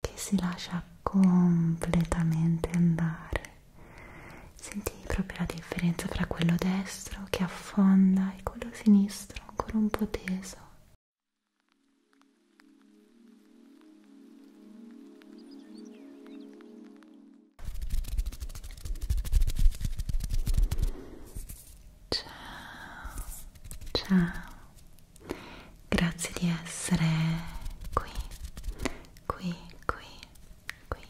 che si lascia completamente andare. Senti proprio la differenza tra quello destro che affonda e quello sinistro ancora un po' teso. Ciao, ciao grazie di essere qui, qui, qui, qui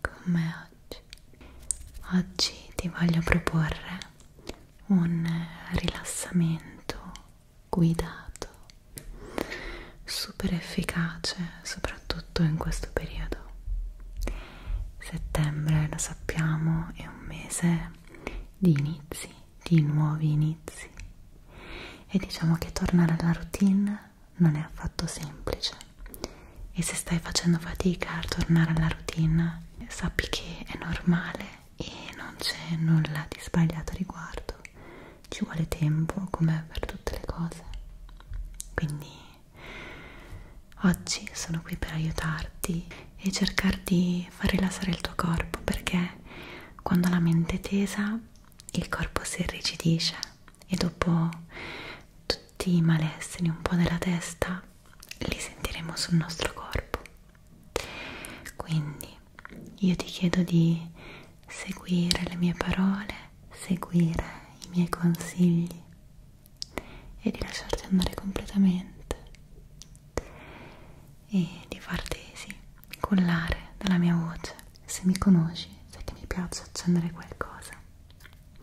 con me oggi. Oggi ti voglio proporre un rilassamento guidato, super efficace, soprattutto in questo periodo. Settembre, lo sappiamo, è un mese di inizi di nuovi inizi e diciamo che tornare alla routine non è affatto semplice e se stai facendo fatica a tornare alla routine sappi che è normale e non c'è nulla di sbagliato riguardo ci vuole tempo come per tutte le cose quindi oggi sono qui per aiutarti e cercare di far rilassare il tuo corpo perché quando la mente è tesa, il corpo si irrigidisce e dopo tutti i malesseri un po' della testa li sentiremo sul nostro corpo. Quindi io ti chiedo di seguire le mie parole, seguire i miei consigli e di lasciarti andare completamente e di fartesi collare dalla mia voce. Se mi conosci, sai che mi piace accendere qualcosa.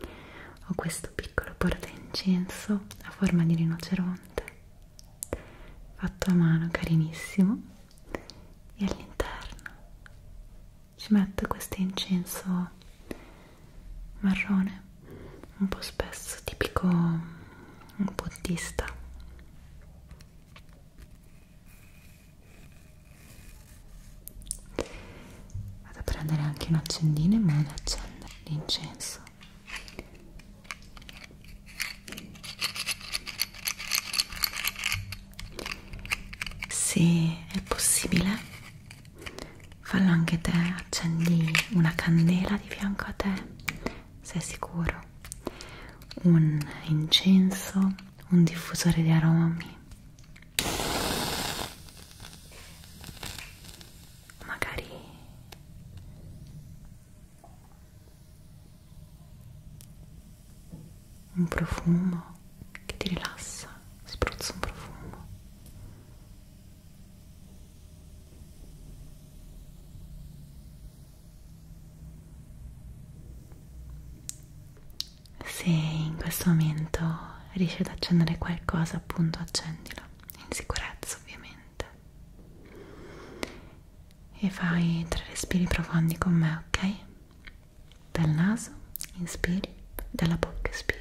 Ho questo piccolo portaincenso a forma di rinoceronte, fatto a mano, carinissimo, e all'interno ci metto questo incenso marrone, un po' spesso, tipico buddista vado a prendere anche un accendino in modo da accendere l'incenso se è possibile fallo anche te accendi una candela di fianco a te sei sicuro un incenso un diffusore di aromi magari un profumo che ti rilassa spruzzo un profumo se in questo momento riesci ad accendere qualcosa, appunto accendilo, in sicurezza ovviamente. E fai tre respiri profondi con me, ok? Dal naso inspiri, dalla bocca espiri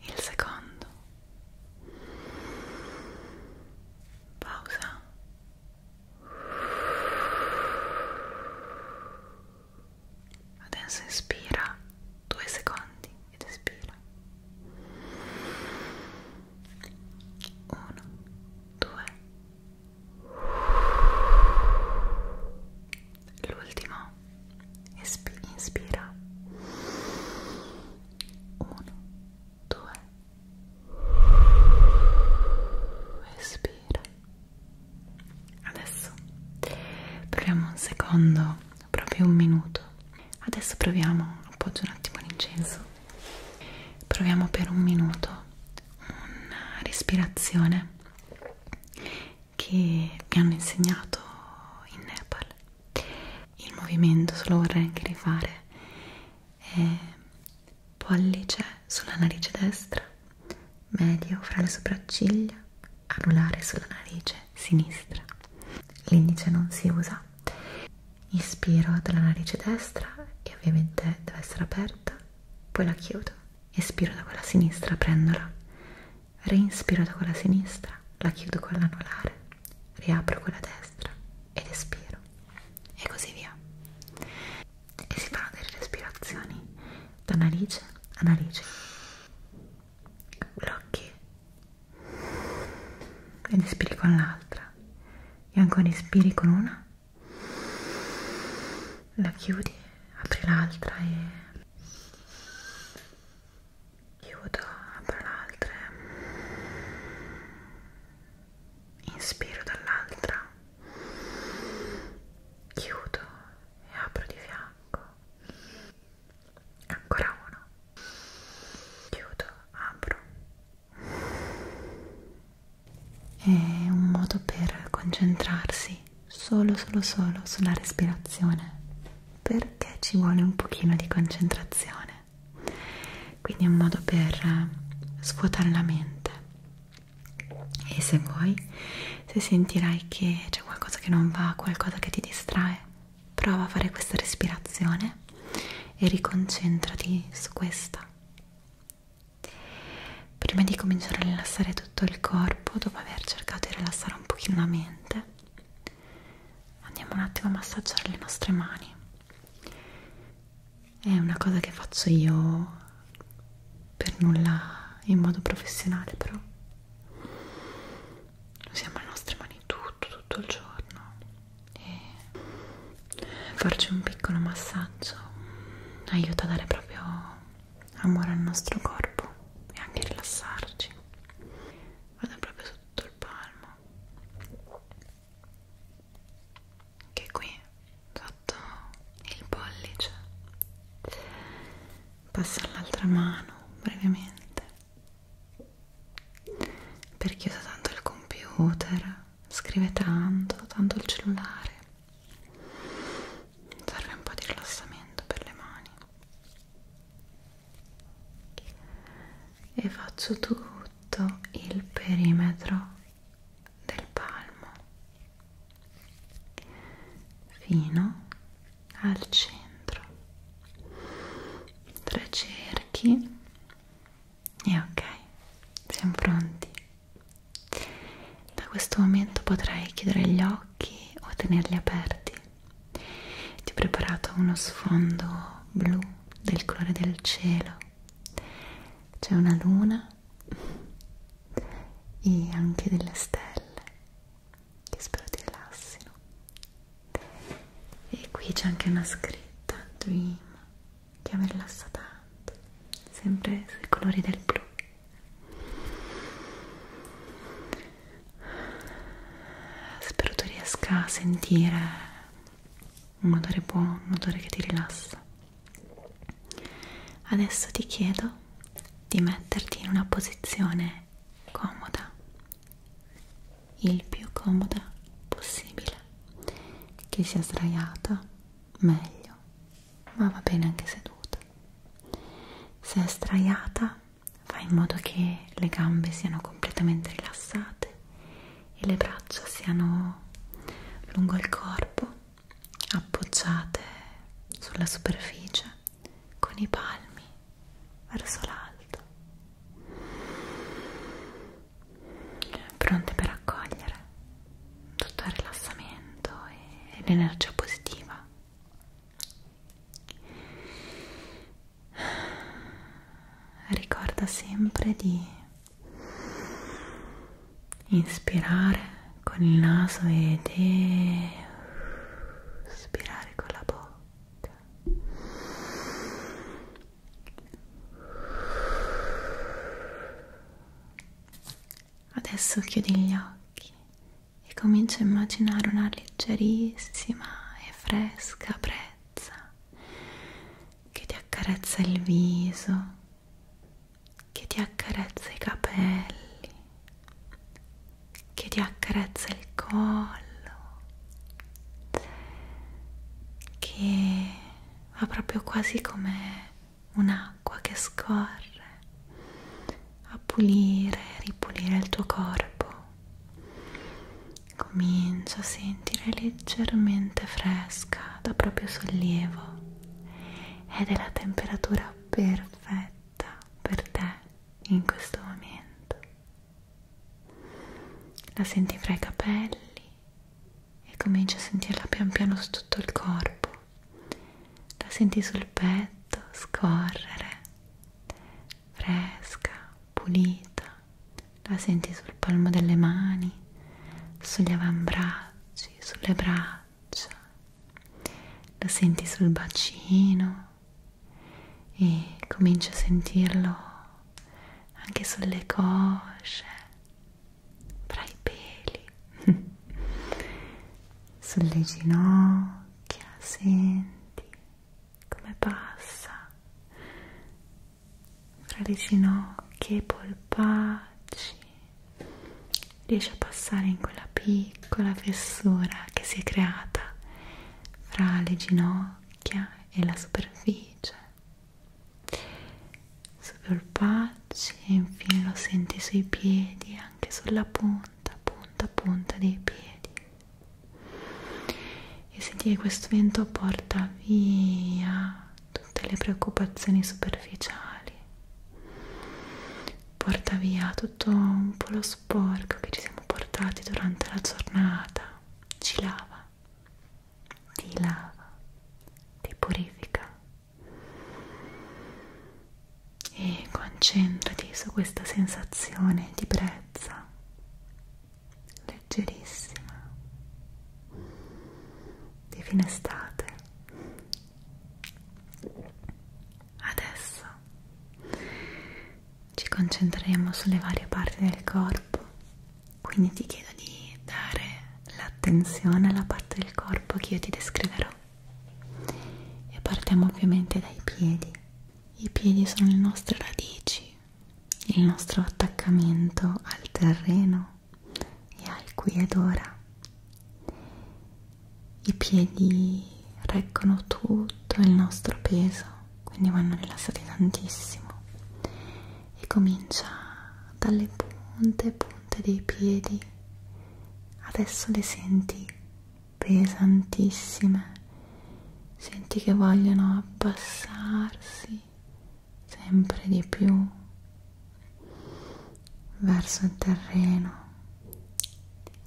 il secondo pausa adesso inspira due secondi ed espira uno due l'ultimo inspira 1 2 espira adesso proviamo un secondo proprio un minuto adesso proviamo appoggio un attimo l'incenso proviamo per un minuto una respirazione che mi hanno insegnato in Nepal il movimento se lo vorrei anche rifare è pollice sulla narice destra medio fra le sopracciglia anulare sulla narice sinistra l'indice non si usa inspiro dalla narice destra e ovviamente deve essere aperta poi la chiudo espiro da quella sinistra, prendola, reinspiro da quella sinistra, la chiudo con l'anulare, riapro quella destra ed espiro e così via. E si fanno delle respirazioni da narice a narice. Blocchi ed espiri con l'altra e ancora espiri con una la chiudi, apri l'altra e chiudo, apro l'altra inspiro dall'altra chiudo e apro di fianco ancora uno chiudo, apro è un modo per concentrarsi solo, solo, solo sulla respirazione perché ci vuole un pochino di concentrazione. Quindi è un modo per eh, svuotare la mente. E se vuoi, se sentirai che c'è qualcosa che non va, qualcosa che ti distrae, prova a fare questa respirazione e riconcentrati su questa prima di cominciare a rilassare tutto il corpo dopo aver cercato di rilassare un pochino la mente andiamo un attimo a massaggiare le nostre mani è una cosa che faccio io per nulla in modo professionale però usiamo le nostre mani tutto tutto il giorno e farci un piccolo massaggio aiuta a dare proprio amore al nostro corpo e anche rilassarci vado proprio su tutto il palmo che qui sotto il pollice passo all'altra mano brevemente perché uso tanto il computer scrive tanto tanto il cellulare serve un po' di rilassamento per le mani e faccio tutto il perimetro del palmo fino al centro tre cerchi e ok siamo pronti da questo momento potrai chiudere gli occhi o tenerli aperti. Ti ho preparato uno sfondo blu del colore del cielo. C'è una luna e anche delle stelle che spero ti rilassino. E qui c'è anche una scritta Dream che mi rilassa tanto, sempre sui colori del blu. Spero tu riesca a sentire un odore buono, un odore che ti rilassa. Adesso ti chiedo di metterti in una posizione comoda, il più comoda possibile, che sia sdraiata meglio ma va bene anche seduta. Se è straiata, fai in modo che le gambe siano completamente rilassate e le braccia siano lungo il corpo, appoggiate sulla superficie con i palmi verso l'alto, pronte per accogliere tutto il rilassamento e l'energia positiva ricorda sempre di inspirare con il naso ed espirare con la bocca Adesso chiudi gli occhi e comincia a immaginare una leggerissima e fresca brezza che ti accarezza il viso, che ti accarezza i capelli, che ti accarezza il collo, che va proprio quasi come un'acqua che scorre a pulire e ripulire il tuo corpo. Comincia a sentire leggermente fresca, da proprio sollievo ed è la temperatura perfetta per te in questo momento. La senti fra i capelli e cominci a sentirla pian piano su tutto il corpo la senti sul petto scorrere, fresca, pulita, la senti sul palmo delle mani, sugli avambracci, sulle braccia, la senti sul bacino e cominci a sentirlo anche sulle cosce fra i peli sulle ginocchia senti come passa fra le ginocchia e i polpacci riesce a passare in quella piccola fessura che si è creata fra le ginocchia e la superficie sul polpaccio e infine lo senti sui piedi anche sulla punta punta punta dei piedi e senti che questo vento porta via tutte le preoccupazioni superficiali porta via tutto un po' lo sporco che ci siamo portati durante la giornata ci lava ti lava ti purifica e concentrati su questa sensazione di brezza leggerissima di fine estate adesso ci concentreremo sulle varie parti del corpo quindi ti chiedo di dare l'attenzione alla parte del corpo che io ti descriverò e partiamo ovviamente dai piedi i piedi sono le nostre radici il nostro attaccamento al terreno e al qui ed ora i piedi reggono tutto il nostro peso quindi vanno rilassati tantissimo e comincia dalle punte punte punte dei piedi adesso le senti pesantissime senti che vogliono abbassarsi sempre di più verso il terreno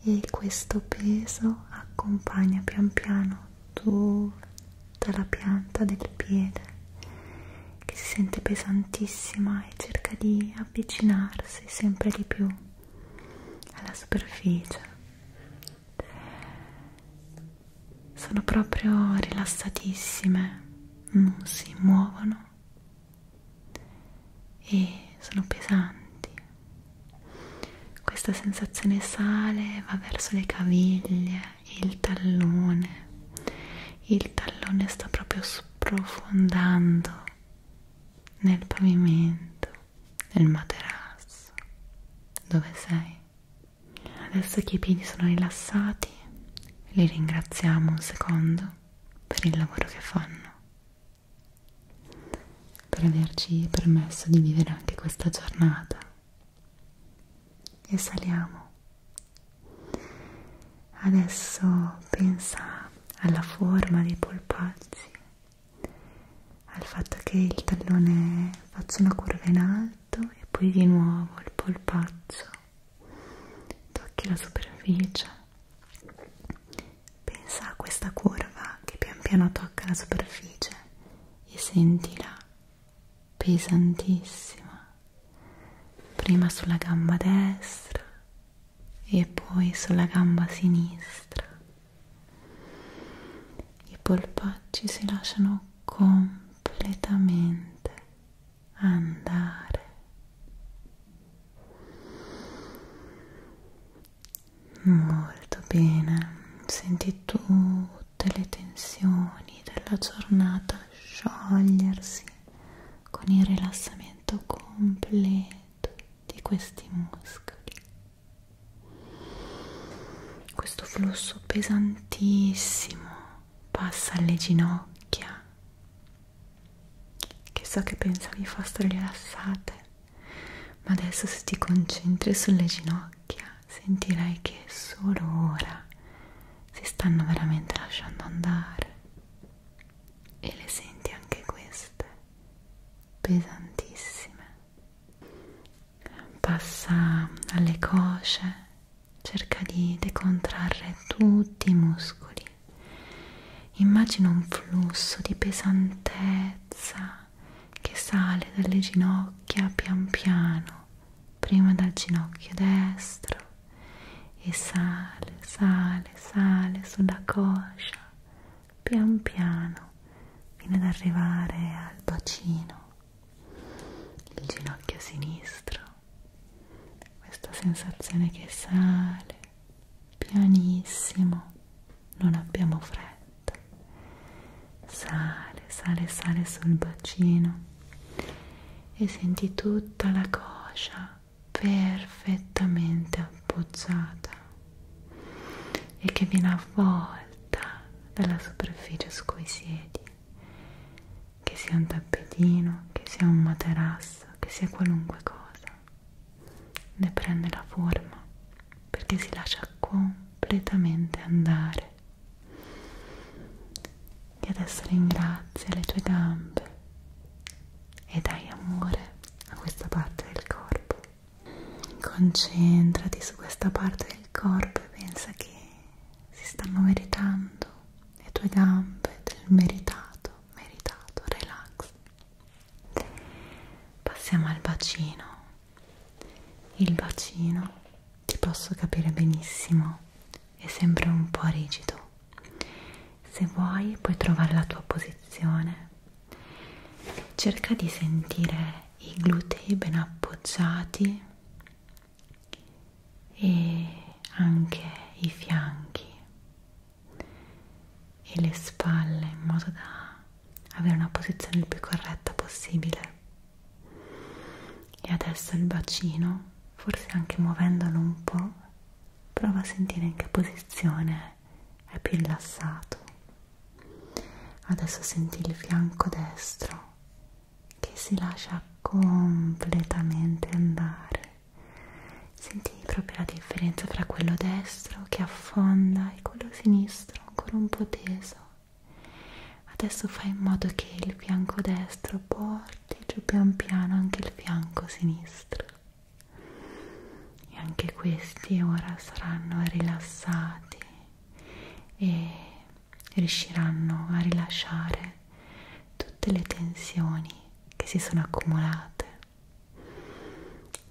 e questo peso accompagna pian piano tutta la pianta del piede che si sente pesantissima e cerca di avvicinarsi sempre di più alla superficie. Sono proprio rilassatissime, non si muovono e sono pesanti. Questa sensazione sale va verso le caviglie, il tallone il tallone sta proprio sprofondando nel pavimento, nel materasso. Dove sei? Adesso che i piedi sono rilassati, li ringraziamo un secondo per il lavoro che fanno, per averci permesso di vivere anche questa giornata. E saliamo Adesso pensa alla forma dei polpacci, al fatto che il tallone faccia una curva in alto e poi di nuovo il polpaccio tocchi la superficie. Pensa a questa curva che pian piano tocca la superficie e sentila pesantissima prima sulla gamba destra e poi sulla gamba sinistra. I polpacci si lasciano completamente andare. Molto bene, senti tutte le tensioni della giornata sciogliersi con il rilassamento completo di questi muscoli questo flusso pesantissimo passa alle ginocchia che so che pensavi fossero rilassate ma adesso se ti concentri sulle ginocchia sentirai che solo ora si stanno veramente lasciando andare e le senti anche queste pesantissime passa alle cosce cerca di decontrarre tutti i muscoli immagina un flusso di pesantezza che sale dalle ginocchia pian piano prima dal ginocchio destro e sale, sale, sale sulla coscia, pian piano, fino ad arrivare al bacino, il ginocchio sinistro, questa sensazione che sale pianissimo, non abbiamo fretta, sale, sale, sale sul bacino e senti tutta la coscia perfettamente appoggiata e che viene avvolta dalla superficie su cui siedi che sia un tappetino, che sia un materasso, che sia qualunque cosa ne prende la forma perché si lascia completamente andare e adesso ringrazia le tue gambe e dai amore a questa parte del corpo. Concentrati su questa parte del corpo e pensa che si stanno meritando le tue gambe del meritato, meritato, relax. Passiamo al bacino. Il bacino, ti posso capire benissimo è sempre un po' rigido. Se vuoi puoi trovare la tua posizione. Cerca di sentire i glutei ben appoggiati e anche i fianchi e le spalle in modo da avere una posizione il più corretta possibile. E adesso il bacino, forse anche muovendolo un po', prova a sentire in che posizione è più rilassato. Adesso senti il fianco destro che si lascia completamente andare. Senti proprio la differenza tra quello destro che affonda e quello sinistro ancora un po' teso. Adesso fai in modo che il fianco destro porti giù pian piano anche il fianco sinistro e anche questi ora saranno rilassati e riusciranno a rilasciare tutte le tensioni che si sono accumulate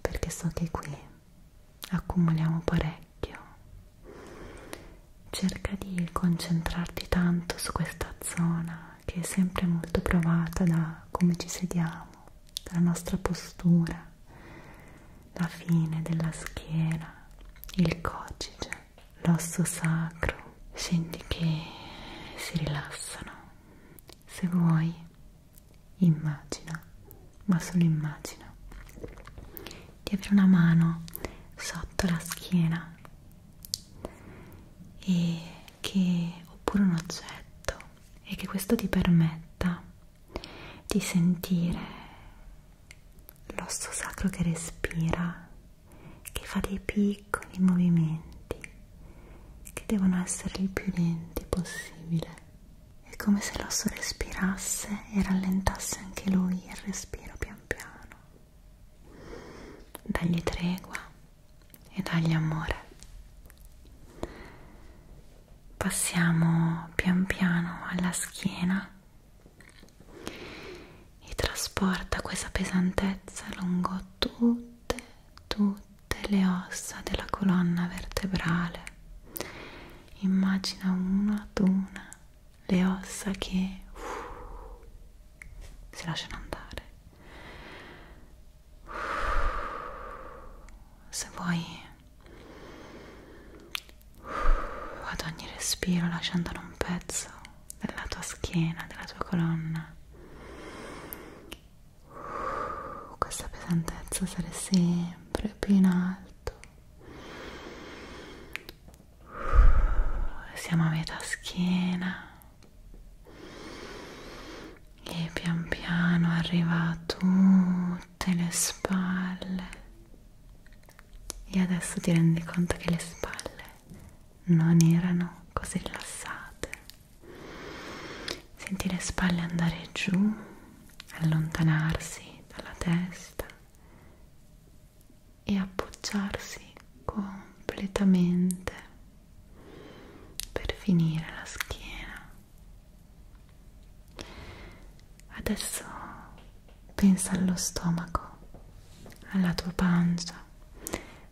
perché so che qui accumuliamo parecchio cerca di concentrarti tanto su questa zona che è sempre molto provata da come ci sediamo, dalla nostra postura, la fine della schiena, il cocige, l'osso sacro. Senti che si rilassano. Se vuoi, immagina, ma solo immagina di avere una mano sotto la schiena e che, oppure un oggetto e che questo ti permetta di sentire l'osso sacro che respira, che fa dei piccoli movimenti che devono essere il più lenti possibile. È come se l'osso respirasse e rallentasse anche lui il respiro pian piano dagli tregua e dagli amore. Passiamo pian piano alla schiena e trasporta questa pesantezza lungo tutte, tutte le ossa della colonna vertebrale. Immagina una ad una le ossa che uh, si lasciano andare. Se vuoi, ad ogni respiro lascia andare un pezzo della tua schiena, della tua colonna. Questa pesantezza sarà sempre più in alto. Siamo a metà schiena e pian piano arriva a tutte le spalle e adesso ti rendi conto che le spalle non erano così rilassate senti le spalle andare giù allontanarsi dalla testa e appoggiarsi completamente per finire la schiena adesso pensa allo stomaco alla tua pancia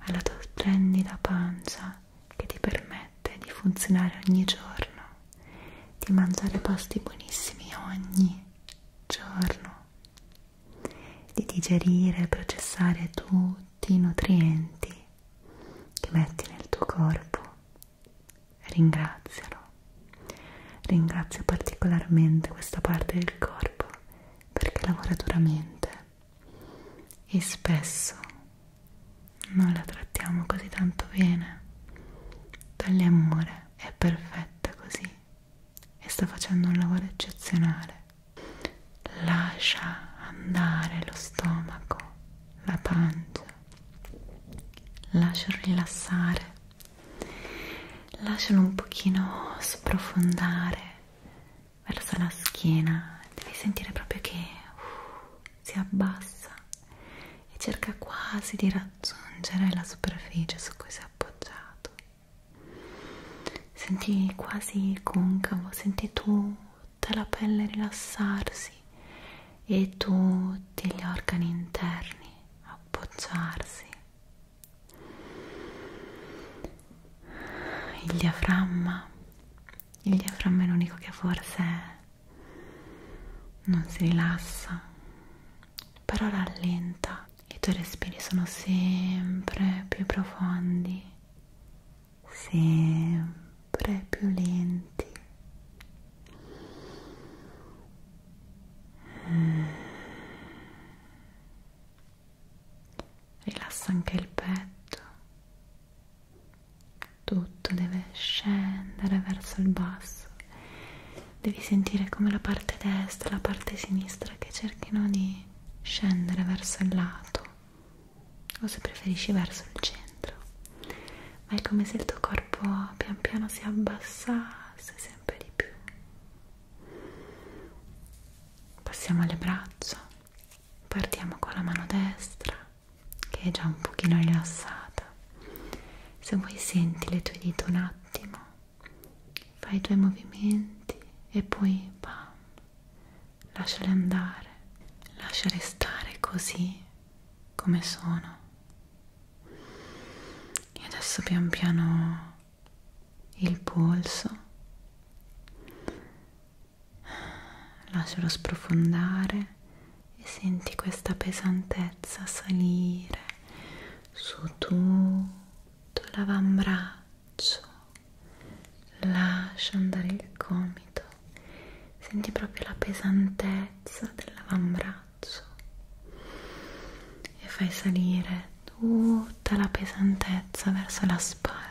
alla tua splendida pancia che ti permette di funzionare ogni giorno di mangiare pasti buonissimi ogni giorno di digerire e processare tutti i nutrienti che metti nel tuo corpo. Ringrazialo. Ringrazio particolarmente questa parte del corpo perché lavora duramente e spesso non la trattiamo così tanto bene. Togli amore, è perfetta così e sta facendo un lavoro eccezionale lascia andare lo stomaco, la pancia, lascialo rilassare, lascialo un pochino sprofondare verso la schiena, devi sentire proprio che uh, si abbassa e cerca quasi di raggiungere la superficie su cui si è appoggiato Senti quasi concavo, senti tutta la pelle rilassarsi e tutti gli organi interni appoggiarsi. Il diaframma, il diaframma è l'unico che forse non si rilassa, però rallenta. I tuoi respiri sono sempre più profondi sempre più lenti rilassa anche il petto tutto deve scendere verso il basso devi sentire come la parte destra e la parte sinistra che cerchino di scendere verso il lato o se preferisci verso il centro, ma è come se il tuo corpo pian piano si abbassasse sempre di più. Passiamo alle braccia, partiamo con la mano destra che è già un pochino rilassata. Se vuoi senti le tue dita un attimo, fai i tuoi movimenti e poi bam, lasciali andare, lasciali stare così come sono. E adesso pian piano il polso, lascialo sprofondare e senti questa pesantezza salire su tutto l'avambraccio lascia andare il gomito, senti proprio la pesantezza dell'avambraccio e fai salire tutta la pesantezza verso la spalla.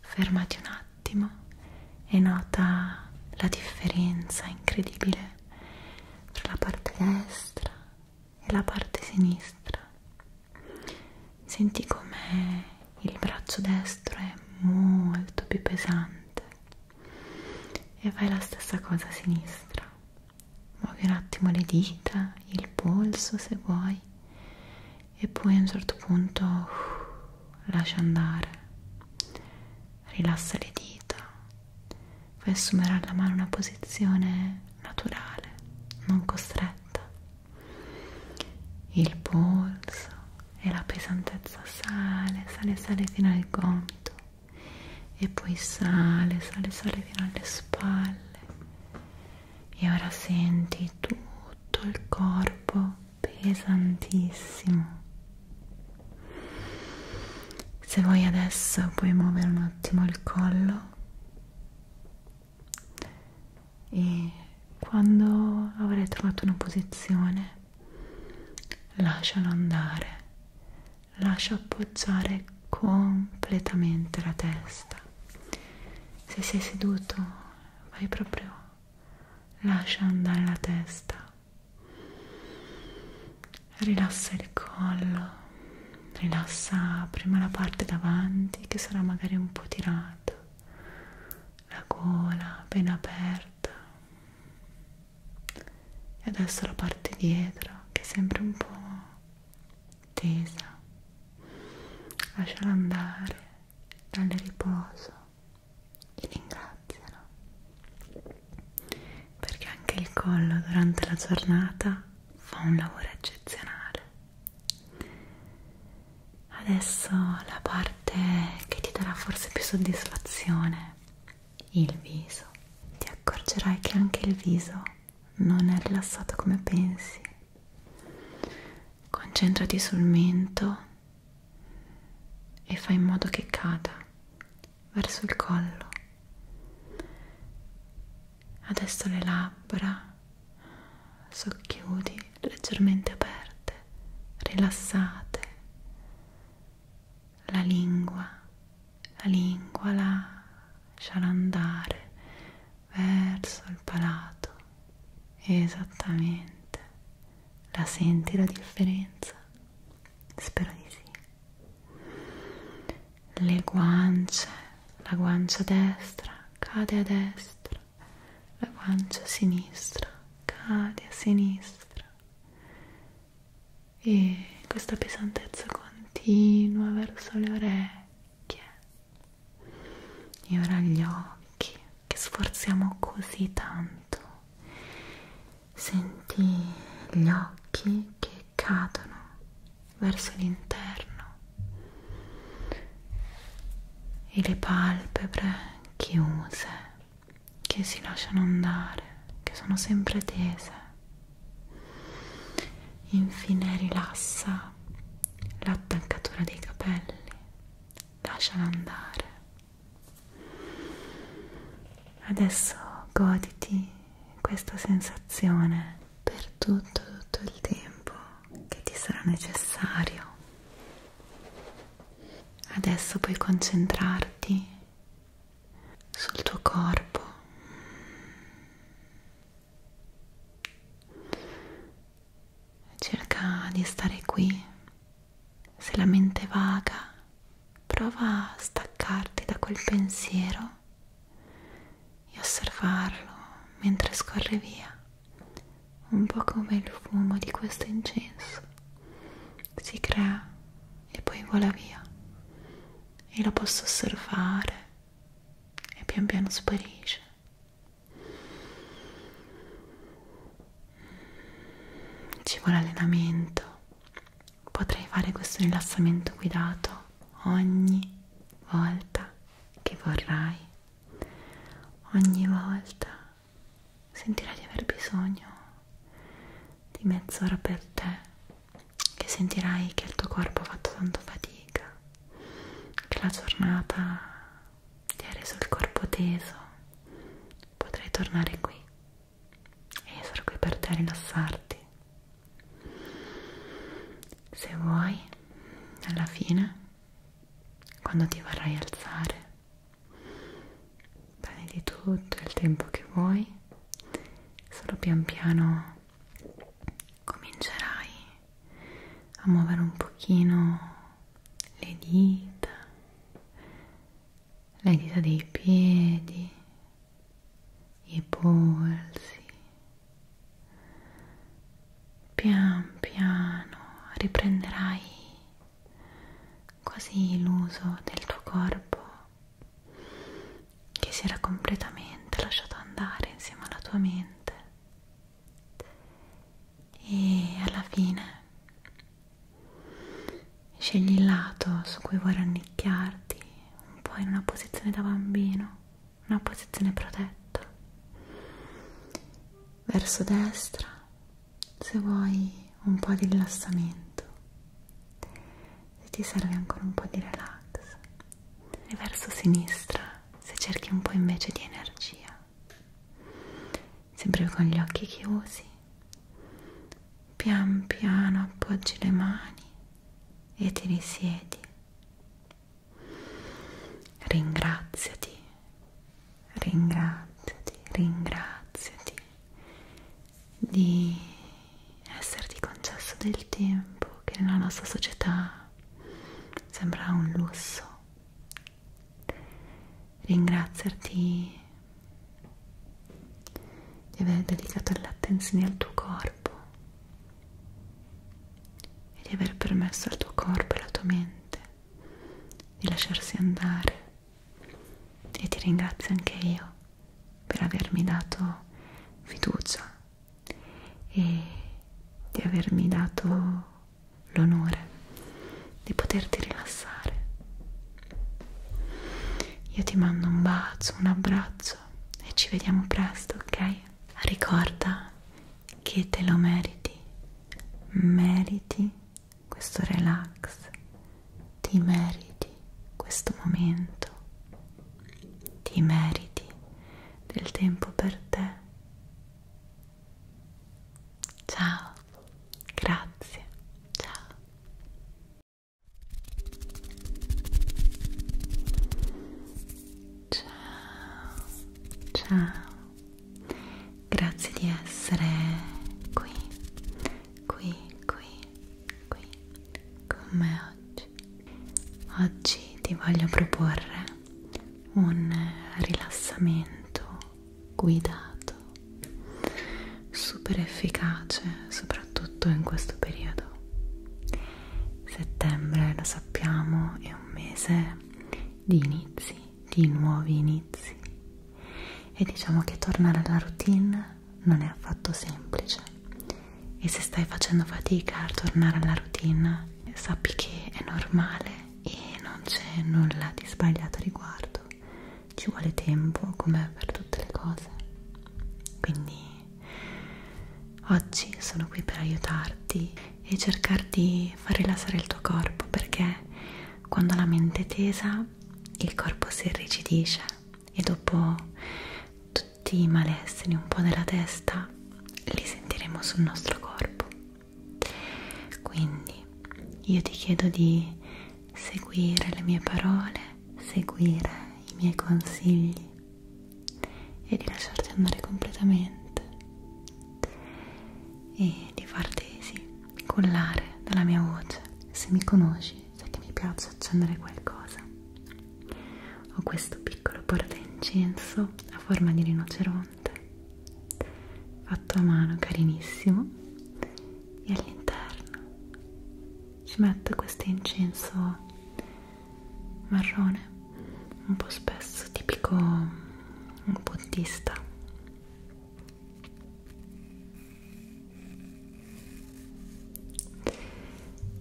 Fermati un attimo e nota la differenza incredibile tra la parte destra e la parte sinistra. Senti come il braccio destro è molto più pesante e fai la stessa cosa a sinistra. Muovi un attimo le dita, il polso se vuoi e poi a un certo punto uh, lascia andare. Rilassa le dita. Fai assumere alla mano una posizione naturale, non costretta il polso e la pesantezza sale, sale, sale fino al gomito e poi sale, sale, sale fino alle spalle e ora senti tutto il corpo pesantissimo se vuoi adesso puoi muovere un attimo il collo e quando avrai trovato una posizione lascialo andare lascia appoggiare completamente la testa se sei seduto vai proprio lascia andare la testa rilassa il collo rilassa prima la parte davanti che sarà magari un po' tirata, la gola appena aperta e adesso la parte dietro che è sempre un po' tesa, lasciala andare, dalle riposo e ringraziala perché anche il collo durante la giornata fa un lavoro eccezionale. Adesso la parte che ti darà forse più soddisfazione, il viso. Ti accorgerai che anche il viso non è rilassato come pensi. Concentrati sul mento e fai in modo che cada verso il collo adesso le labbra socchiudi leggermente aperte, rilassate, la lingua, la lingua lascia andare verso il palato, esattamente. La senti la differenza? Spero di sì. Le guance, la guancia destra cade a destra, la guancia sinistra cade a sinistra e questa pesantezza continua verso le orecchie e ora gli occhi che sforziamo così tanto senti gli occhi che cadono verso l'interno e le palpebre chiuse che si lasciano andare, che sono sempre tese. Infine rilassa l'attaccatura dei capelli, lasciala andare. Adesso goditi questa sensazione per tutto tutto il tempo che ti sarà necessario. Adesso puoi concentrarti sul tuo corpo. Cerca di stare qui. Se la mente vaga, prova a staccarti da quel pensiero e osservarlo mentre scorre via, un po' come il fumo di questo incenso. Si crea e poi vola via e lo posso osservare e pian piano sparisce. Ci vuole allenamento. Potrei fare questo rilassamento guidato ogni volta che vorrai, ogni volta sentirai di aver bisogno di mezz'ora per te, che sentirai che il tuo corpo ha fatto tanto fatica, che la giornata ti ha reso il corpo teso, potrai tornare qui e io sarò qui per te a rilassarti. Se vuoi alla fine, quando ti vorrai alzare, prenditi tutto il tempo che vuoi, solo pian piano comincerai a muovere un pochino le dita, le dita dei piedi, i polsi, Pian piano riprenderai quasi l'uso del tuo corpo che si era completamente lasciato andare insieme alla tua mente e alla fine scegli il lato su cui vuoi rannicchiarti un po' in una posizione da bambino una posizione protetta verso destra se vuoi un po' di rilassamento se ti serve ancora un po' di relax e verso sinistra se cerchi un po' invece di energia sempre con gli occhi chiusi pian piano appoggi le mani e ti risiedi Ringraziati, ringraziati, ringraziati di esserti concesso del tempo che nella nostra società sembra un lusso. Ringraziarti di aver dedicato l'attenzione al tuo corpo e di aver permesso al tuo corpo e alla tua mente di lasciarsi andare e ti ringrazio anche io per avermi dato fiducia e di avermi dato l'onore di poterti rilassare. Io ti mando un bacio, un abbraccio e ci vediamo presto, ok? Ricorda che te lo meriti, meriti questo relax, ti meriti questo momento, ti meriti del tempo per te. Ciao, grazie, ciao. Ciao, ciao. Grazie di essere qui, qui, qui, qui con me oggi. Oggi ti voglio proporre un rilassamento guidato, super efficace, soprattutto in questo periodo. Settembre, lo sappiamo, è è un mese di inizi, di nuovi inizi e diciamo che tornare alla routine non è affatto semplice e se stai facendo fatica a tornare alla routine sappi che è normale e non c'è nulla di sbagliato a riguardo ci vuole tempo come per tutte le cose quindi Oggi sono qui per aiutarti e cercare di far rilassare il tuo corpo perché quando la mente è tesa il corpo si irrigidisce e dopo tutti i malesseri un po' della testa li sentiremo sul nostro corpo. Quindi io ti chiedo di seguire le mie parole, seguire i miei consigli e di lasciarti andare completamente e di farti sì, collare dalla mia voce. Se mi conosci, sai che mi piace accendere qualcosa. Ho questo piccolo portaincenso a forma di rinoceronte, fatto a mano, carinissimo, e all'interno ci metto questo incenso marrone un po' spesso tipico buddista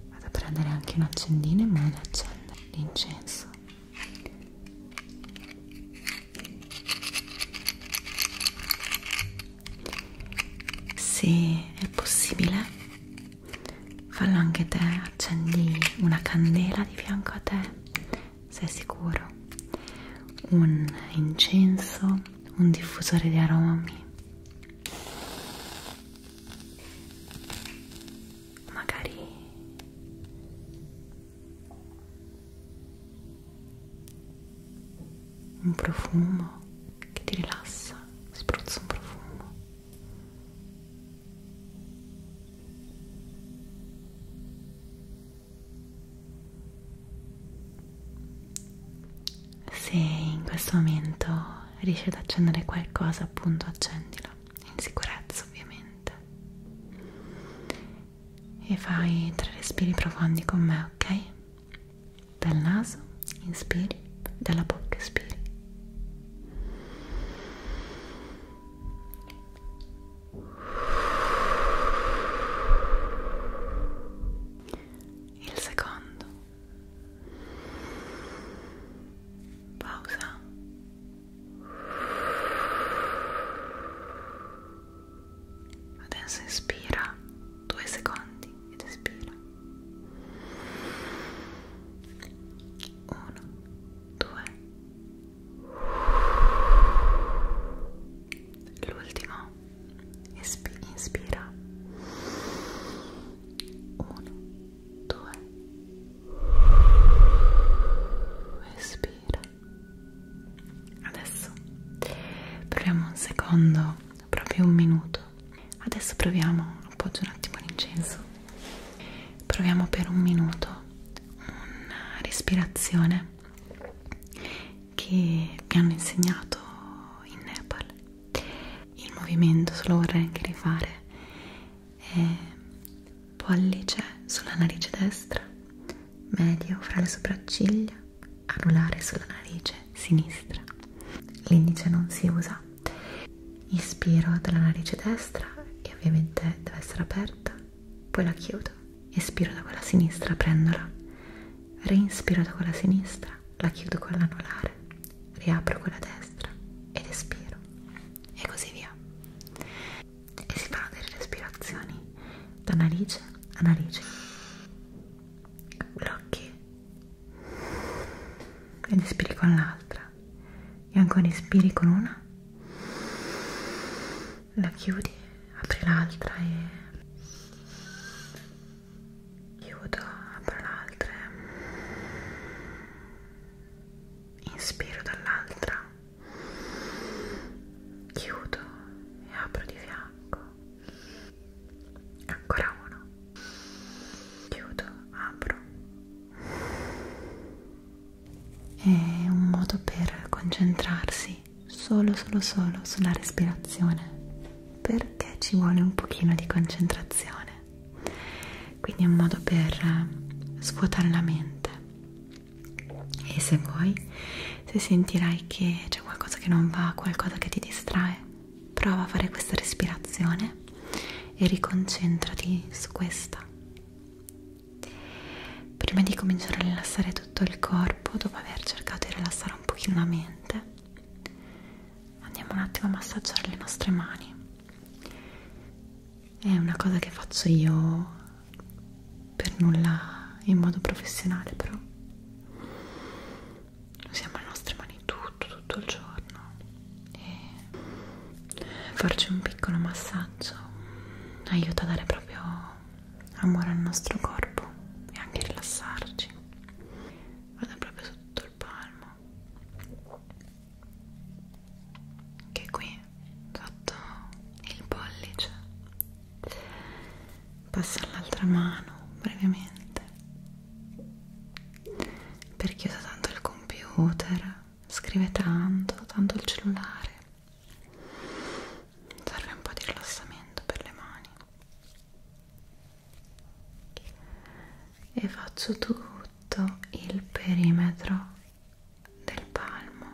vado a prendere anche un accendino in modo da accendere l'incenso se è possibile fallo anche te, accendi una candela di fianco a te, sei sicuro, un incenso, un diffusore di aromi, magari un profumo che ti rilassa, spruzzo un profumo se in questo momento riesci ad accendere qualcosa, appunto accendilo in sicurezza ovviamente e fai tre respiri profondi con me, ok? Dal naso inspiri, dalla bocca espiri il secondo pausa adesso inspira due secondi ed espira uno due l'ultimo inspira uno due espira adesso proviamo un secondo proprio un minuto adesso proviamo appoggio un attimo l'incenso proviamo per un minuto una respirazione che mi hanno insegnato in Nepal il movimento se lo vorrei anche rifare è pollice sulla narice destra medio fra le sopracciglia anulare sulla narice sinistra l'indice non si usa Inspiro dalla narice destra e ovviamente deve essere aperta, poi la chiudo. Espiro da quella sinistra, prendola. Reinspiro da quella sinistra, la chiudo con l'anulare, riapro quella destra ed espiro. E così via. E si fanno delle respirazioni da narice a narice. Blocchi ed espiri con l'altra e ancora inspiri con una la chiudi apri l'altra e chiudo apro l'altra inspiro dall'altra chiudo e apro di fianco ancora uno chiudo apro è un modo per concentrarsi solo, solo, solo sulla respirazione perché ci vuole un pochino di concentrazione. Quindi è un modo per eh, svuotare la mente. E se vuoi, se sentirai che c'è qualcosa che non va, qualcosa che ti distrae, prova a fare questa respirazione e riconcentrati su questa. Prima di cominciare a rilassare tutto il corpo, dopo aver cercato di rilassare un pochino la mente, andiamo un attimo a massaggiare le nostre mani. È una cosa che faccio io per nulla in modo professionale, però usiamo le nostre mani tutto, tutto il giorno e farci un piccolo massaggio aiuta a dare proprio amore al nostro corpo e anche a rilassarci vado proprio su tutto il palmo che qui sotto il pollice passo all'altra mano brevemente perché uso tanto il computer scrive tanto, tanto il cellulare serve un po' di rilassamento per le mani e faccio tutto il perimetro del palmo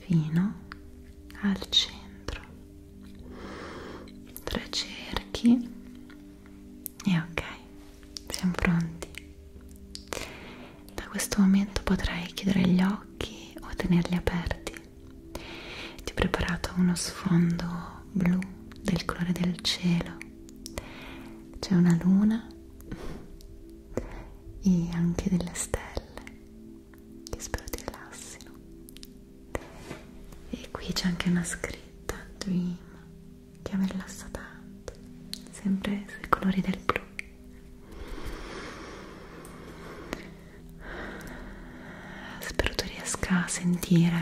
fino al centro tre cerchi e ok, siamo pronti. Da questo momento potrai chiudere gli occhi o tenerli aperti. Ti ho preparato uno sfondo blu del colore del cielo. C'è una luna e anche delle stelle che spero ti rilassino. E qui c'è anche una scritta Dream che mi rilassa tanto, sempre sui colori del blu. Spero tu riesca a sentire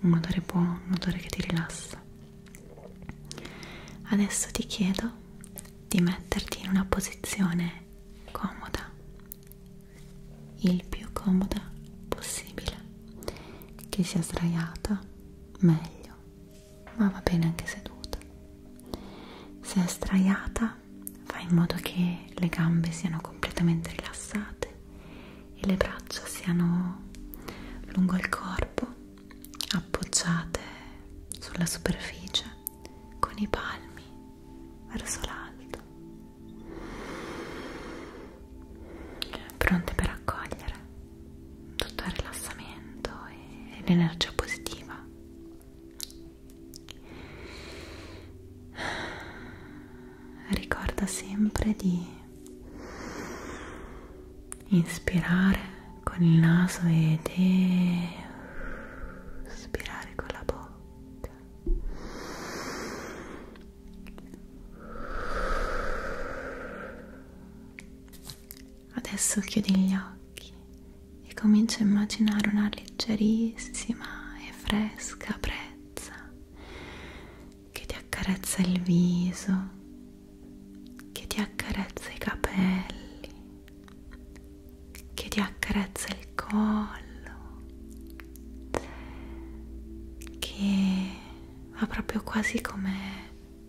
un odore buono, un odore che ti rilassa. Adesso ti chiedo di metterti in una posizione comoda, il più comoda possibile che sia sdraiata meglio ma va bene anche seduta se è sdraiata fai in modo che le gambe siano completamente rilassate e le braccia siano lungo il corpo appoggiate sulla superficie con i palmi verso l'alto pronte per accogliere tutto il rilassamento e l'energia positiva ricorda sempre di inspirare con il naso ed espirare con la bocca Adesso chiudi gli occhi e comincia a immaginare una leggerissima e fresca brezza che ti accarezza il viso, che ti accarezza i capelli, che ti accarezza il collo, che ma proprio quasi come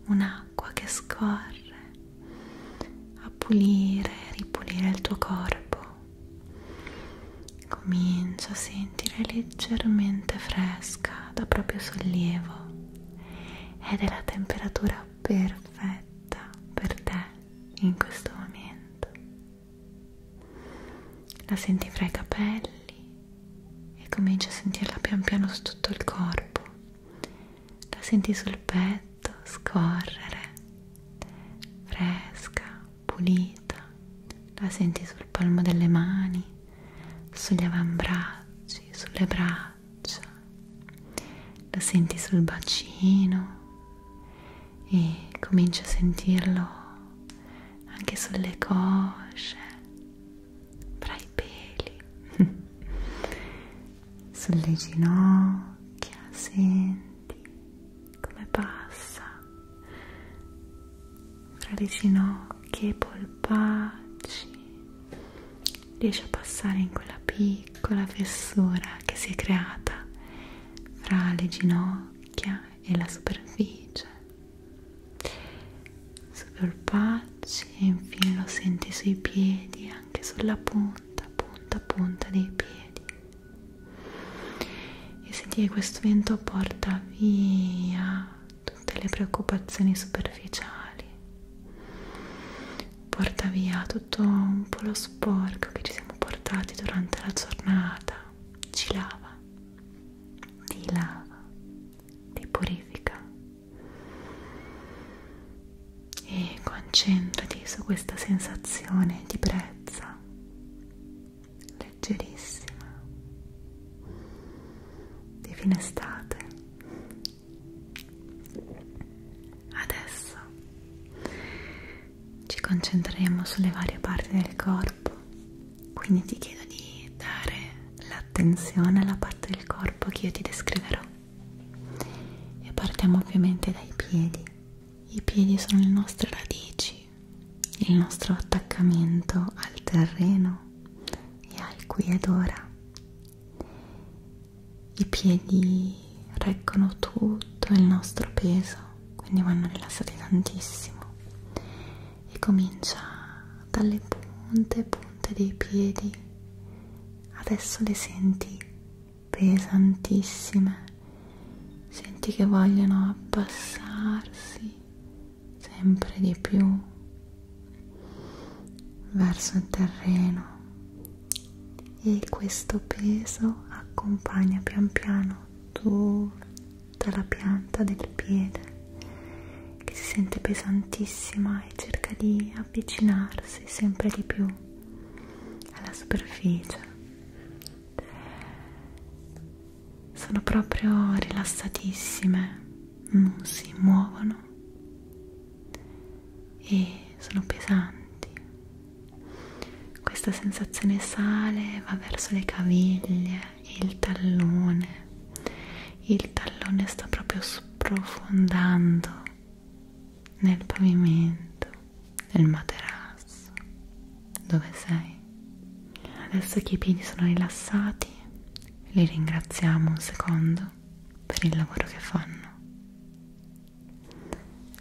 un'acqua che scorre a pulire e ripulire il tuo corpo. Comincia a sentire leggermente fresca, da proprio sollievo ed è la temperatura perfetta per te in questo momento la senti fra i capelli e cominci a sentirla pian piano su tutto il corpo, la senti sul petto scorrere, fresca, pulita, la senti sul palmo delle mani, sugli avambracci, sulle braccia, la senti sul bacino e cominci a sentirlo anche sulle cosce, fra i peli, sulle ginocchia, senti come passa fra le ginocchia, i polpacci, riesce a passare in quella piccola fessura che si è creata fra le ginocchia e la superficie super pace e infine lo senti sui piedi anche sulla punta punta punta dei piedi e senti che questo vento porta via tutte le preoccupazioni superficiali porta via tutto un po' lo sporco che ci siamo portati durante la giornata ci lava ti lava, ti purifica e concentrati su questa sensazione di brezza leggerissima di fine estate adesso ci concentreremo sulle varie parti del corpo quindi ti chiedo di dare l'attenzione alla parte del corpo che io ti descriverò. E partiamo ovviamente dai piedi. I piedi sono le nostre radici, il nostro attaccamento al terreno e al qui ed ora. I piedi reggono tutto il nostro peso, quindi vanno rilassati tantissimo e comincia dalle punte punte dei piedi adesso le senti pesantissime senti che vogliono abbassarsi sempre di più verso il terreno e questo peso accompagna pian piano tutto dalla pianta del piede che si sente pesantissima e cerca di avvicinarsi sempre di più alla superficie. Sono proprio rilassatissime, non mm, si muovono e sono pesanti. Questa sensazione sale, va verso le caviglie il tallone il tallone sta proprio sprofondando nel pavimento nel materasso dove sei adesso che i piedi sono rilassati li ringraziamo un secondo per il lavoro che fanno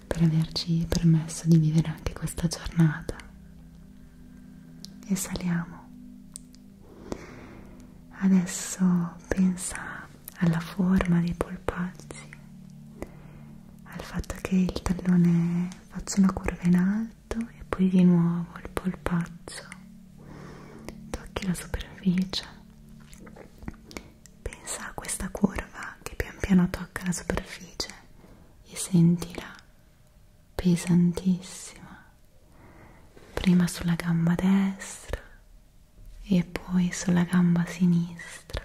per averci permesso di vivere anche questa giornata esaliamo adesso pensa alla forma dei polpacci al fatto che il tallone faccia una curva in alto e poi di nuovo il polpaccio tocchi la superficie pensa a questa curva che pian piano tocca la superficie e sentila pesantissima, prima sulla gamba destra e poi sulla gamba sinistra.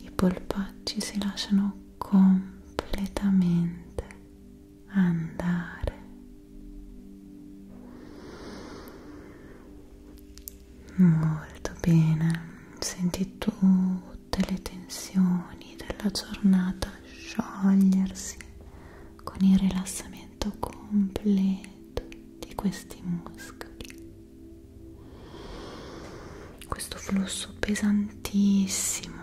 I polpacci si lasciano completamente andare. Molto bene senti tutte le tensioni della giornata sciogliersi con il rilassamento completo di questi muscoli questo flusso pesantissimo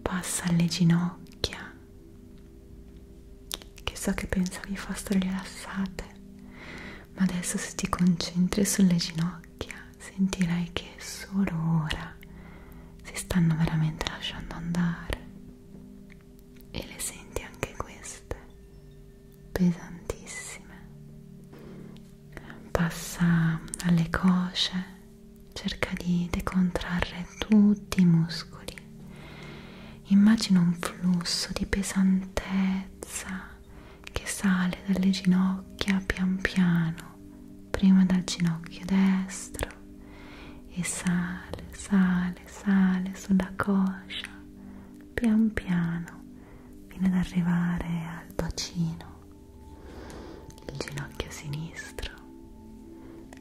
passa alle ginocchia che so che pensavi fossero rilassate ma adesso se ti concentri sulle ginocchia ginocchia sentirai che solo ora si stanno veramente lasciando andare e le senti anche queste pesantissime passa alle cosce cerca di decontrarre tutti i muscoli immagina un flusso di pesantezza che sale dalle ginocchia pian piano prima dal ginocchio destro e sale, sale, sale sulla coscia, pian piano, fino ad arrivare al bacino, il ginocchio sinistro,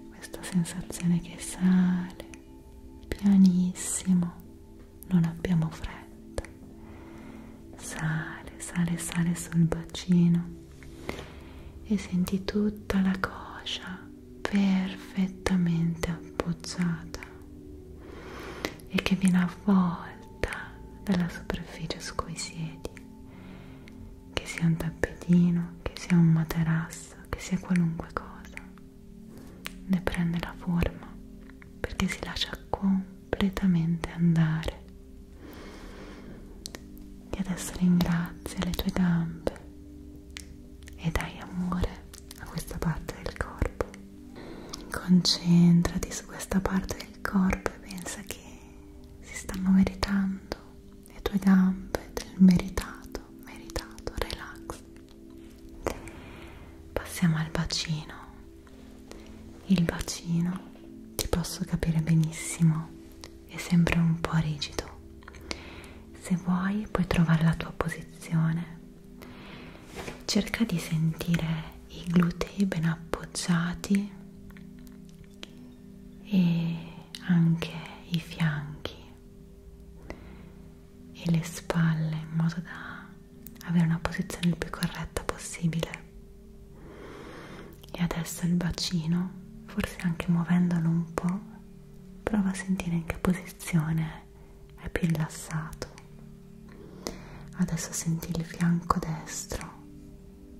questa sensazione che sale pianissimo, non abbiamo fretta, sale, sale, sale sul bacino e senti tutta la coscia perfettamente appoggiata e che viene avvolta dalla superficie su cui siedi che sia un tappetino che sia un materasso che sia qualunque cosa ne prende la forma perché si lascia compiere completamente andare. E adesso ringrazia le tue gambe e dai amore a questa parte del corpo. Concentrati su questa parte del corpo e pensa che si stanno meritando le tue gambe del meritato, meritato, relax. Passiamo al bacino il bacino, ti posso capire benissimo, è sempre un po' rigido. Se vuoi puoi trovare la tua posizione. Cerca di sentire i glutei ben appoggiati e anche i fianchi e le spalle in modo da avere una posizione il più corretta possibile e adesso il bacino, forse anche muovendolo un po', prova a sentire in che posizione è più rilassato. Adesso senti il fianco destro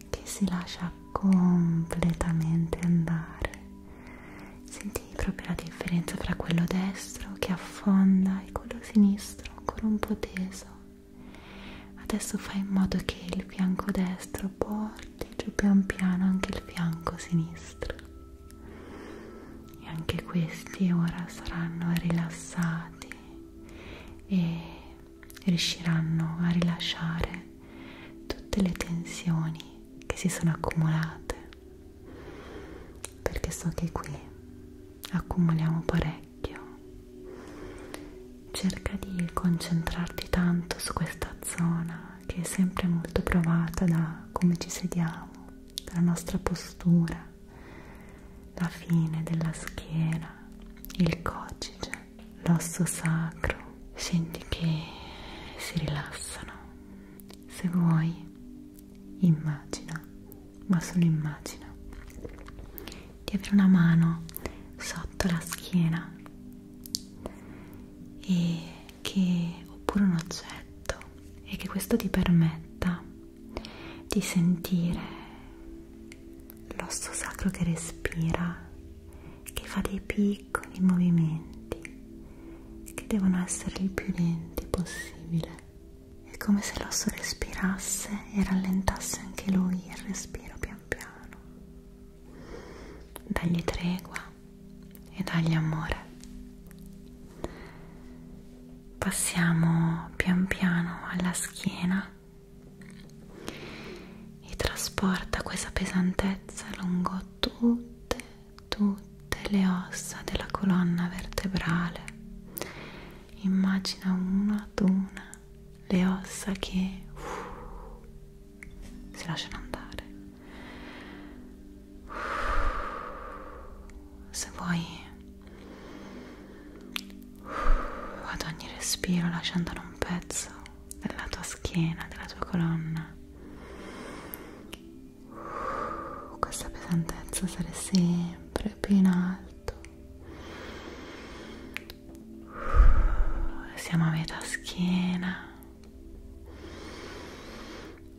che si lascia completamente andare. Senti proprio la differenza tra quello destro che affonda e quello sinistro ancora un po' teso adesso fai in modo che il fianco destro porti giù pian piano anche il fianco sinistro e anche questi ora saranno rilassati e riusciranno a rilasciare tutte le tensioni che si sono accumulate perché so che qui accumuliamo parecchio orecchio cerca di concentrarti tanto su questa zona che è sempre molto provata da come ci sediamo dalla nostra postura la fine della schiena il cocige l'osso sacro senti che si rilassano se vuoi immagina ma solo immagina di avere una mano sotto la schiena e che, oppure un oggetto e che questo ti permetta di sentire l'osso sacro che respira che fa dei piccoli movimenti che devono essere il più lenti possibile è come se l'osso respirasse e rallentasse anche lui il respiro piano pian piano dagli tregua e dagli amore passiamo pian piano alla schiena e trasporta questa pesantezza lungo tutte tutte le ossa della colonna vertebrale immagina una ad una le ossa che uh, si lasciano andare. Uh, se vuoi, uh, ad ogni respiro lascia andare un pezzo della tua schiena, della tua colonna. Uh, questa pesantezza sarà sempre più in alto siamo a metà schiena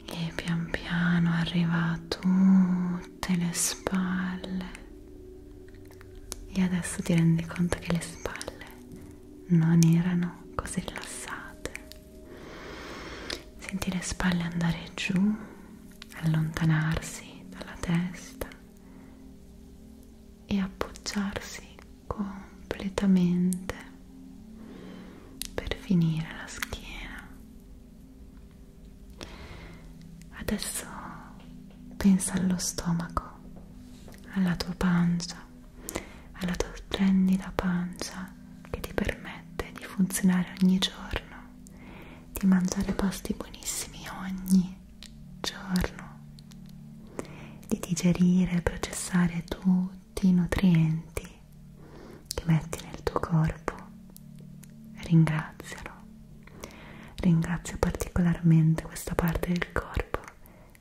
e pian piano arriva a tutte le spalle e adesso ti rendi conto che le spalle non erano così rilassate senti le spalle andare giù allontanarsi dalla testa e appoggiarsi completamente per finire la schiena. Adesso pensa allo stomaco, alla tua pancia, alla tua splendida pancia che ti permette di funzionare ogni giorno, di mangiare pasti buonissimi ogni giorno di digerire e processare tutti i nutrienti che metti nel tuo corpo. Ringrazialo. Ringrazio particolarmente questa parte del corpo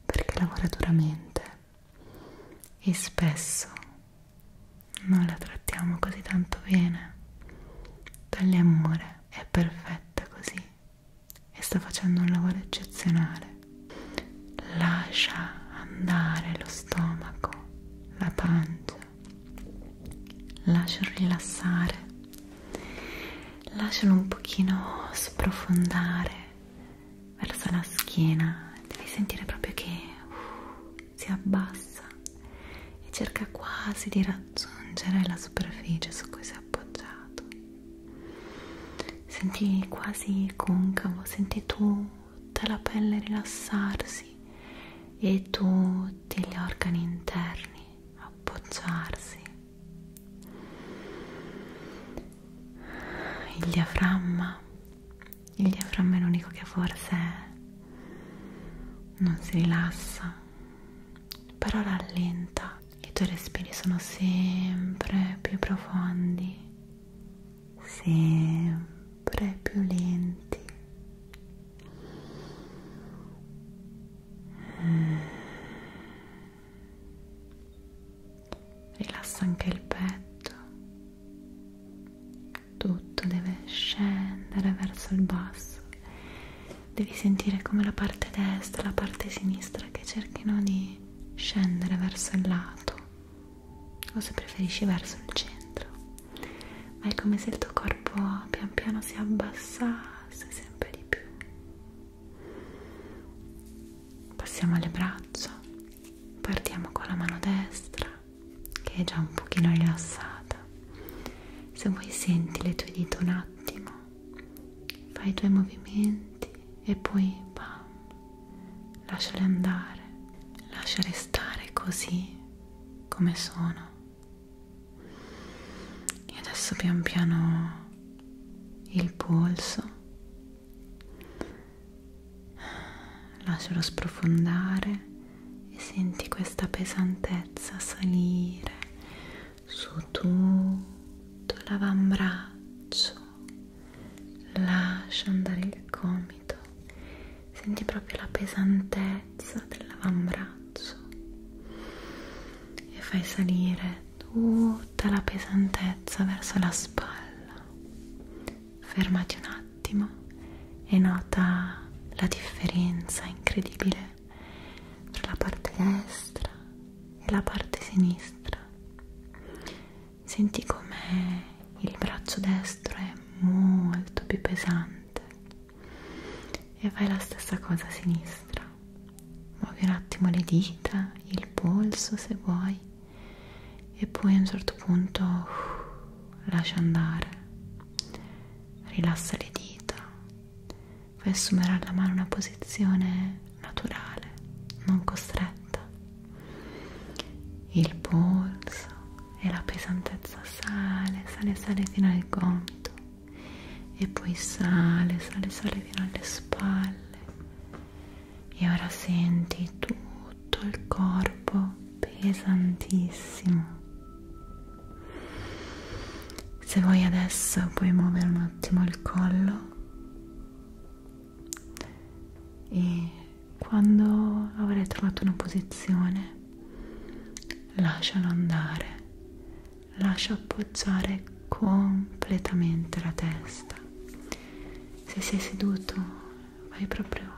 perché lavora duramente e spesso non la trattiamo così tanto bene. Togli amore, è perfetta così e sta facendo un lavoro eccezionale. Lascia andare lo stomaco, la pancia, lascialo rilassare, lascialo un pochino sprofondare verso la schiena, devi sentire proprio che uh, si abbassa e cerca quasi di raggiungere la superficie su cui sei appoggiato senti quasi concavo senti tutta la pelle rilassarsi e tutti gli organi interni appoggiarsi il diaframma il diaframma è l'unico che forse non si rilassa però rallenta i tuoi respiri sono sempre più profondi, sempre più lenti. Rilassa anche il petto, tutto deve scendere verso il basso devi sentire come la parte destra e la parte sinistra che cerchino di scendere verso il lato o se preferisci verso il centro ma è come se il tuo corpo pian piano si abbassasse sempre di più passiamo alle braccia partiamo con la mano destra che è già un pochino rilassata se vuoi senti le tue dita un attimo fai i tuoi movimenti e poi bam, lasciali andare, lasciali stare così come sono. E adesso pian piano il polso, lascialo sprofondare e senti questa pesantezza salire su tutto l'avambraccio lascia andare il gomito senti proprio la pesantezza dell'avambraccio e fai salire tutta la pesantezza verso la spalla fermati un attimo e nota la differenza incredibile tra la parte destra e la parte sinistra senti come il braccio destro è molto più pesante e fai la stessa cosa a sinistra muovi un attimo le dita il polso se vuoi e poi a un certo punto uff, uh, lascia andare rilassa le dita puoi assumere alla mano una posizione naturale, non costretta. Il polso e la pesantezza sale, sale, sale fino al gomito e poi sale, sale, sale fino alle spalle. E ora senti tutto il corpo pesantissimo se vuoi adesso puoi muovere un attimo il collo e quando avrai trovato una posizione lascialo andare, lascia appoggiare completamente la testa. Se sei seduto vai proprio,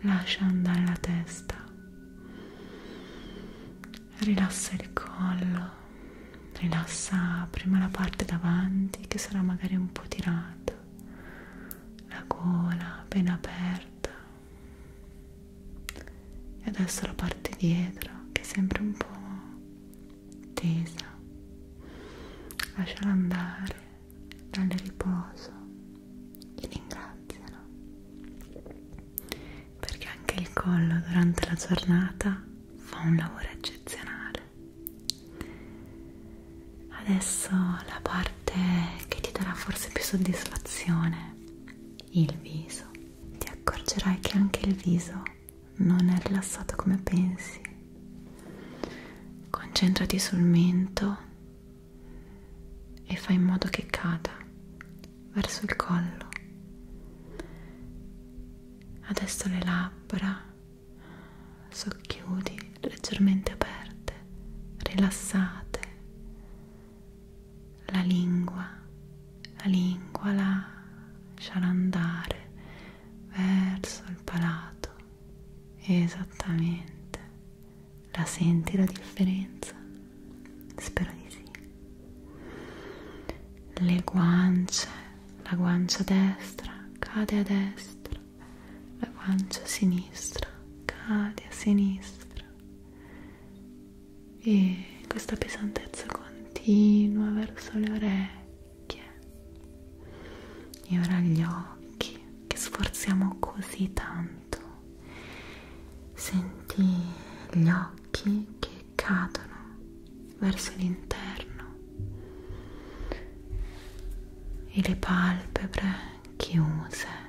lascia andare la testa Rilassa il collo, rilassa prima la parte davanti che sarà magari un po' tirata, la gola appena aperta e adesso la parte dietro che è sempre un po' tesa. Lasciala andare, dalle riposo e ringraziala perché anche il collo durante la giornata fa un lavoro eccezionale. Adesso la parte che ti darà forse più soddisfazione, il viso. Ti accorgerai che anche il viso non è rilassato come pensi. Concentrati sul mento e fai in modo che cada verso il collo, adesso le labbra socchiudi, leggermente aperte, rilassate, la lingua, la lingua lascia andare verso il palato, esattamente, la senti la differenza? spero di sì le guance la guancia destra cade a destra la guancia sinistra cade a sinistra e questa pesantezza continua verso le orecchie e ora gli occhi che sforziamo così tanto senti gli occhi che cadono verso l'interno e le palpebre chiuse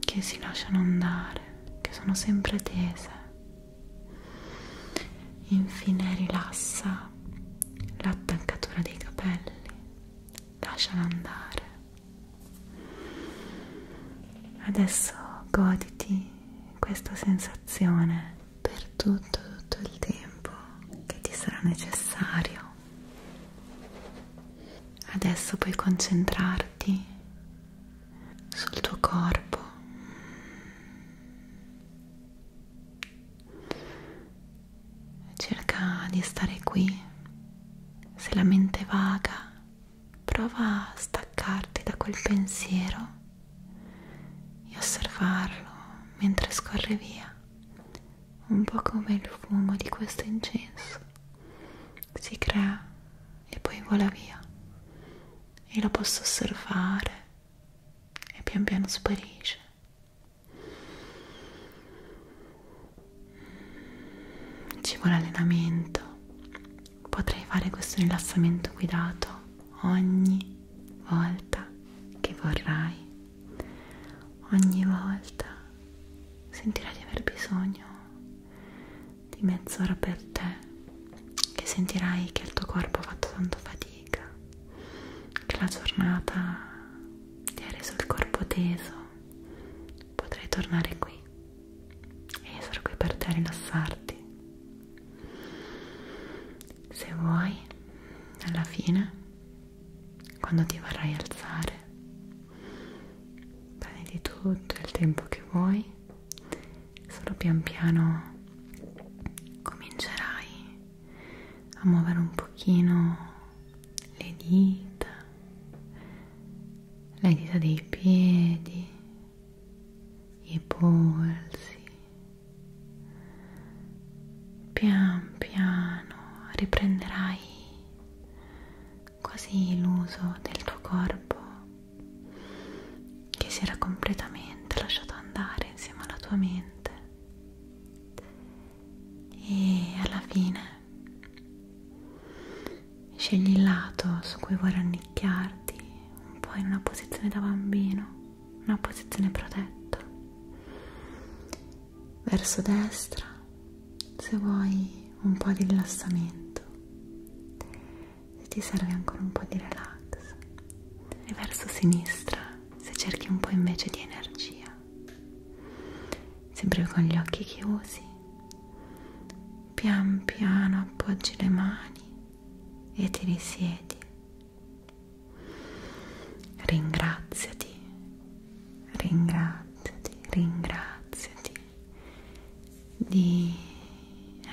che si lasciano andare, che sono sempre tese. Infine rilassa l'attaccatura dei capelli, lasciala andare. Adesso goditi questa sensazione per tutto tutto il tempo che ti sarà necessario adesso puoi concentrarti sul tuo corpo cerca di stare qui se la mente vaga prova a staccarti da quel pensiero e osservarlo mentre scorre via, un po' come il fumo di questo incenso. Si crea e poi vola via e lo posso osservare e pian piano sparisce. Ci vuole allenamento Potrai fare questo rilassamento guidato ogni volta che vorrai. Ogni volta sentirai di aver bisogno di mezz'ora per te, che sentirai che il tuo corpo ha fatto tanto fatica, che la giornata ti ha reso il corpo teso. Potrai tornare qui e io sarò qui per te a rilassarti se vuoi alla fine quando ti vorrai alzare prenditi tutto il tempo che vuoi solo pian piano comincerai a muovere un pochino le dita le dita dei piedi i polsi. Pian piano riprenderai così l'uso del tuo corpo che si era completamente lasciato andare insieme alla tua mente e alla fine Scegli il lato su cui vuoi rannicchiarti, un po' in una posizione da bambino, una posizione protetta. Verso destra, se vuoi un po' di rilassamento, se ti serve ancora un po' di relax. E verso sinistra, se cerchi un po' invece di energia. Sempre con gli occhi chiusi pian piano appoggi le mani e ti risiedi. Ringraziati, ringraziati, ringraziati di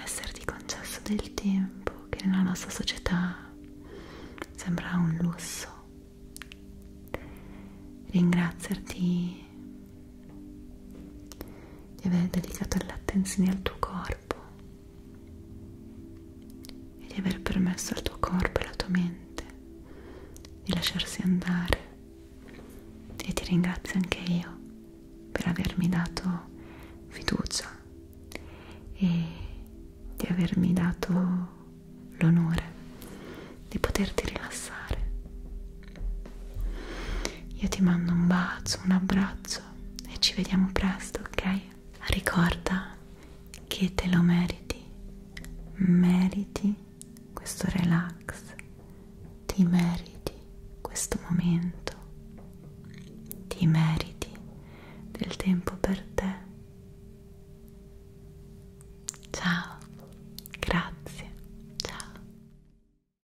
esserti concesso del tempo che nella nostra società sembra un lusso. Ringraziarti di aver dedicato l'attenzione al tuo corpo e di aver permesso al tuo corpo e alla tua mente di lasciarsi andare e ti ringrazio anche io per avermi dato fiducia e di avermi dato l'onore di poterti rilassare io ti mando un bacio, un abbraccio e ci vediamo presto, ok? Ricorda che te lo meriti, meriti questo relax, ti meriti questo momento, ti meriti del tempo per te. Ciao, grazie, ciao.